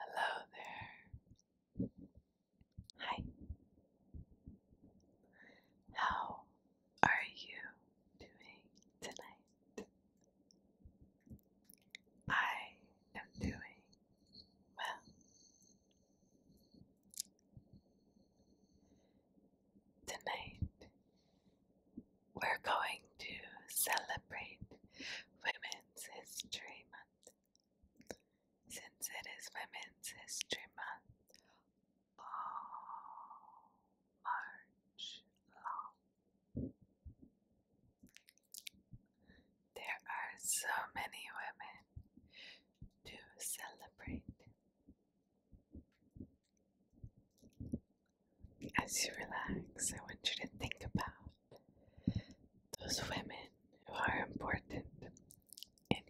Hello there. Hi. How are you doing tonight? I am doing well. Tonight we're going to celebrate Women's History Month. Since it is Women's History Month, all March long. There are so many women to celebrate. As you relax, I want you to think about those women who are important in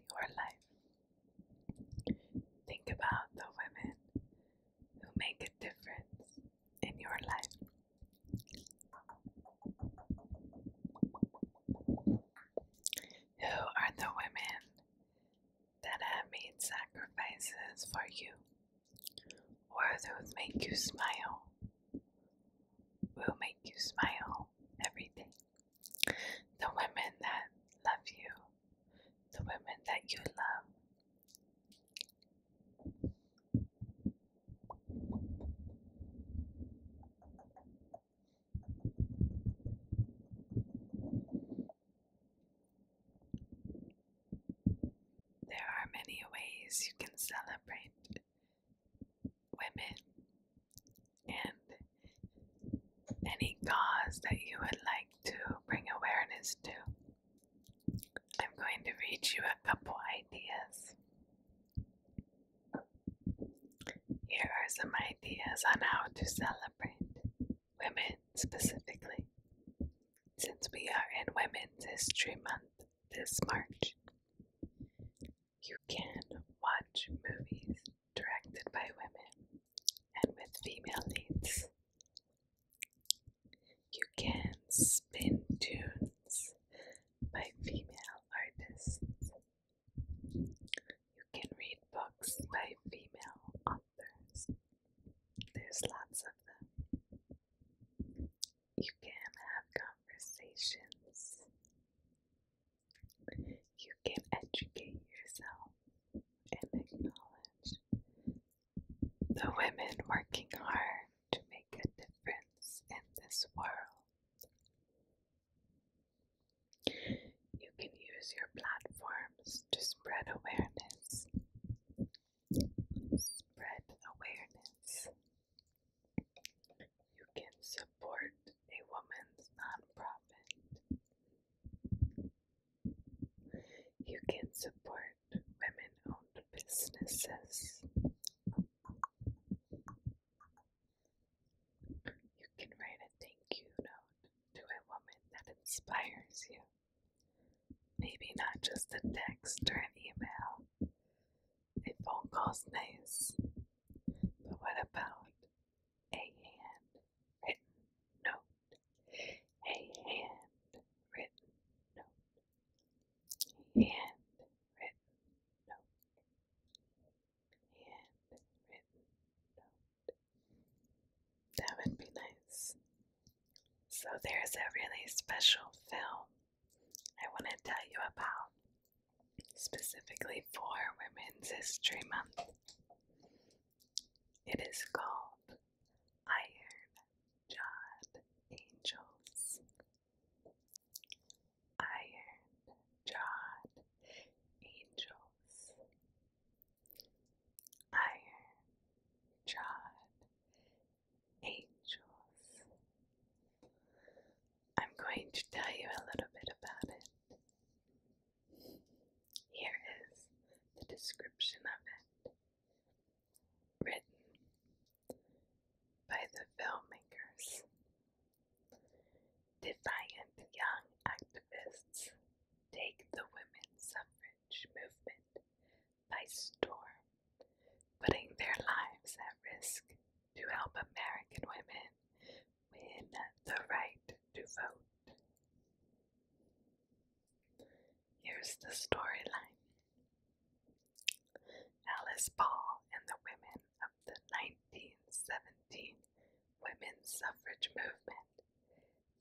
your life. Think about the women who make a difference in your life. Who are the women that have made sacrifices for you? or those make you smile will make you smile Everything. The women that love you, the women that you love. There are many ways you can celebrate women and any cause that you would like to bring awareness to. I'm going to read you a couple ideas. Here are some ideas on how to celebrate women specifically. Since we are in Women's History Month, this March. You can watch movies directed by women and with female leads. You can spin tunes by female artists. You can read books by female authors. There's lots of them. You can have conversations. You can educate yourself and acknowledge the women working hard to make a difference in this world. You can use your platforms to spread awareness spread awareness. You can support a woman's nonprofit. You can support women owned businesses. You can write a thank you note to a woman that inspires you. Maybe not just a text or an email, a phone call's nice, but what about a handwritten note? A handwritten note. handwritten note. handwritten note. That would be nice. So there's a really special film I want to tell you about specifically for Women's History Month. It is called Iron Jawed Angels. Iron Jawed Angels. Iron Jawed angels. I'm going to tell you a little bit about it. Here is the description of it, written by the filmmakers. Defiant young activists take the women's suffrage movement by storm, putting their lives at risk to help American women win the right to vote. Here's the storyline Alice Paul and the women of the 1917 women's suffrage movement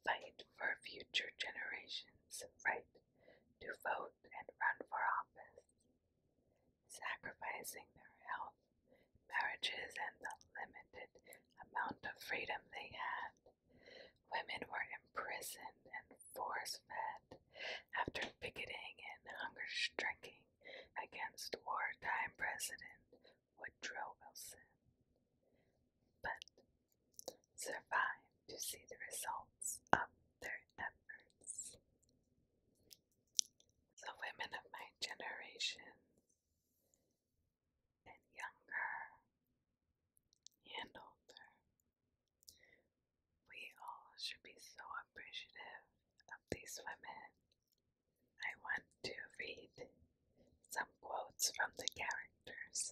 fight for future generations' right to vote and run for office, sacrificing their health, marriages, and the limited amount of freedom they had. Women were imprisoned and force fed after picketing and hunger striking against wartime President Woodrow Wilson. But survive to see the results of their efforts. The women of my generation and younger and older, we all should be so appreciative of these women. I want to read some quotes from the characters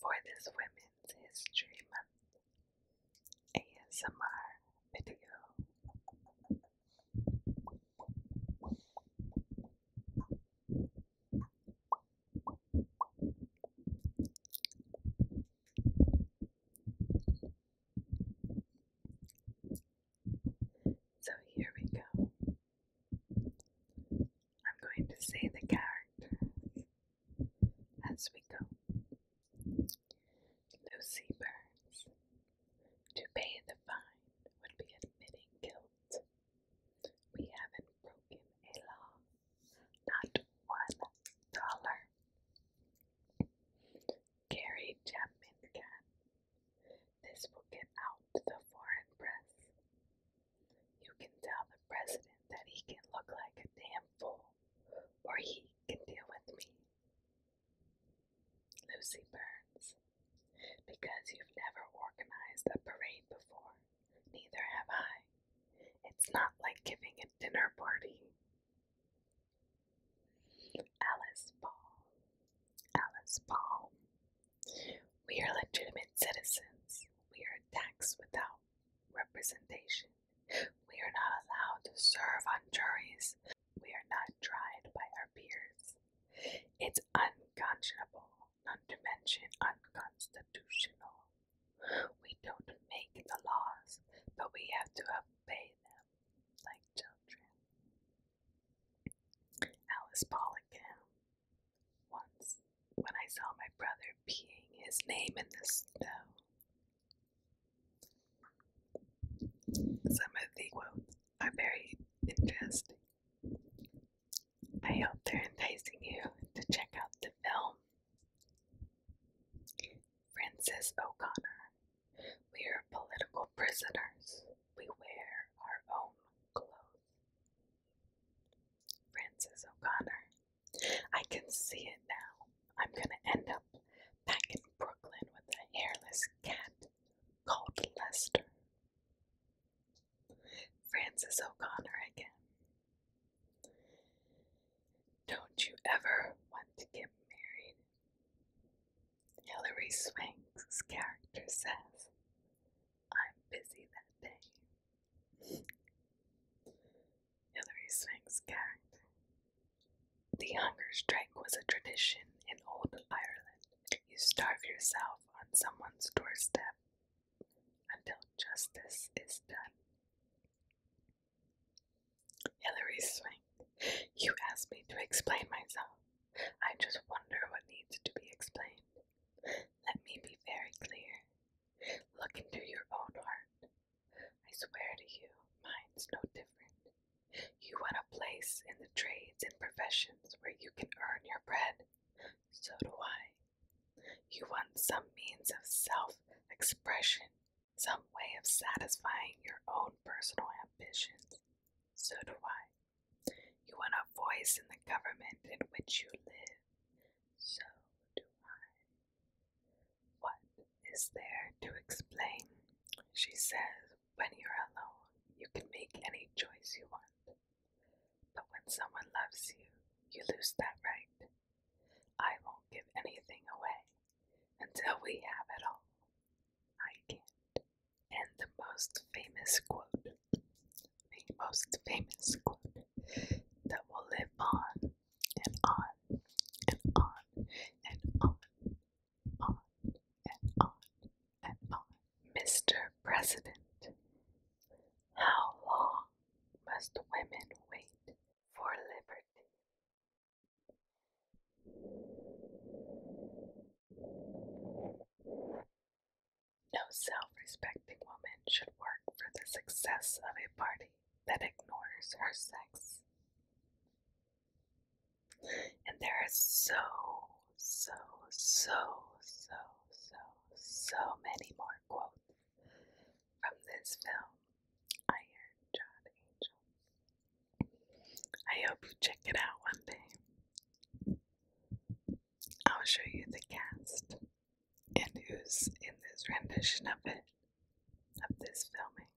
for this Women's History Month ASMR video. So here we go. I'm going to say the characters as we go. Lucy Burns. To pay the fine would be admitting guilt. We haven't broken a law, not one dollar. Gary Chapman can. This will get out to the foreign press. You can tell the president that he can look like a damn fool, or he can deal with me. Lucy Burns. Because you've never organized a parade before, neither have I. It's not like giving a dinner party. Alice Paul. Alice Paul. We are legitimate citizens. We are taxed without representation. We are not allowed to serve on juries. We are not tried by our peers. It's unconscionable, not to mention unconstitutional. We don't make the laws, but we have to obey them like children. Alice Paul again. Once when I saw my brother peeing his name in the snow. Some of the quotes are very interesting. I hope they're enticing you to check out the film. Francis O'Connor, we are political prisoners. We wear our own clothes. Francis O'Connor. I can see it now. I'm gonna end up back in Brooklyn with a hairless cat called Lester. Francis O'Connor again. Don't you ever want to get married? Hilary Swank's character says, I'm busy that day, Hillary Swank's character. The hunger strike was a tradition in old Ireland. You starve yourself on someone's doorstep until justice is done. Hilary Swank, you asked me to explain myself. I just wonder what needs to be explained. Let me be very clear. Look into your own heart. I swear to you, mine's no different. You want a place in the trades and professions where you can earn your bread. So do I. You want some means of self expression, some way of satisfying your own personal ambitions. So do I. You want a voice in the government in which you live. So do I. What is there to explain? She says, when you're alone, you can make any choice you want. But when someone loves you, you lose that right. I won't give anything away until we have it all. I can't. And the most famous quote, the most famous quote that will live on and on and on and on, on and on and on. Mr. President, how long must women wait for liberty? No self respecting woman should work for the success of a party that ignores her sex. And there so, so, so, so, so, so many more quotes from this film, Iron John Angel. I hope you check it out one day. I'll show you the cast and who's in this rendition of it, of this filming.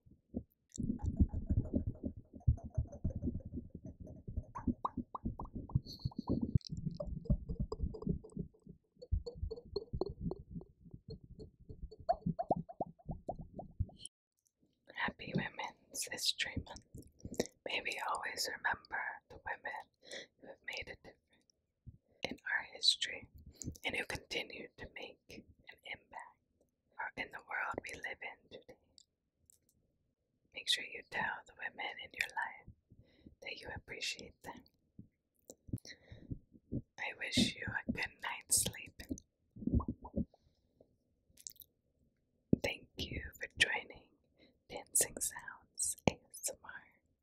Happy Women's History Month. May we always remember the women who have made a difference in our history and who continue to make an impact in the world we live in today. Make sure you tell the women in your life that you appreciate them. I wish you a good night's sleep. Thank you for joining Dancing Sounds ASMR.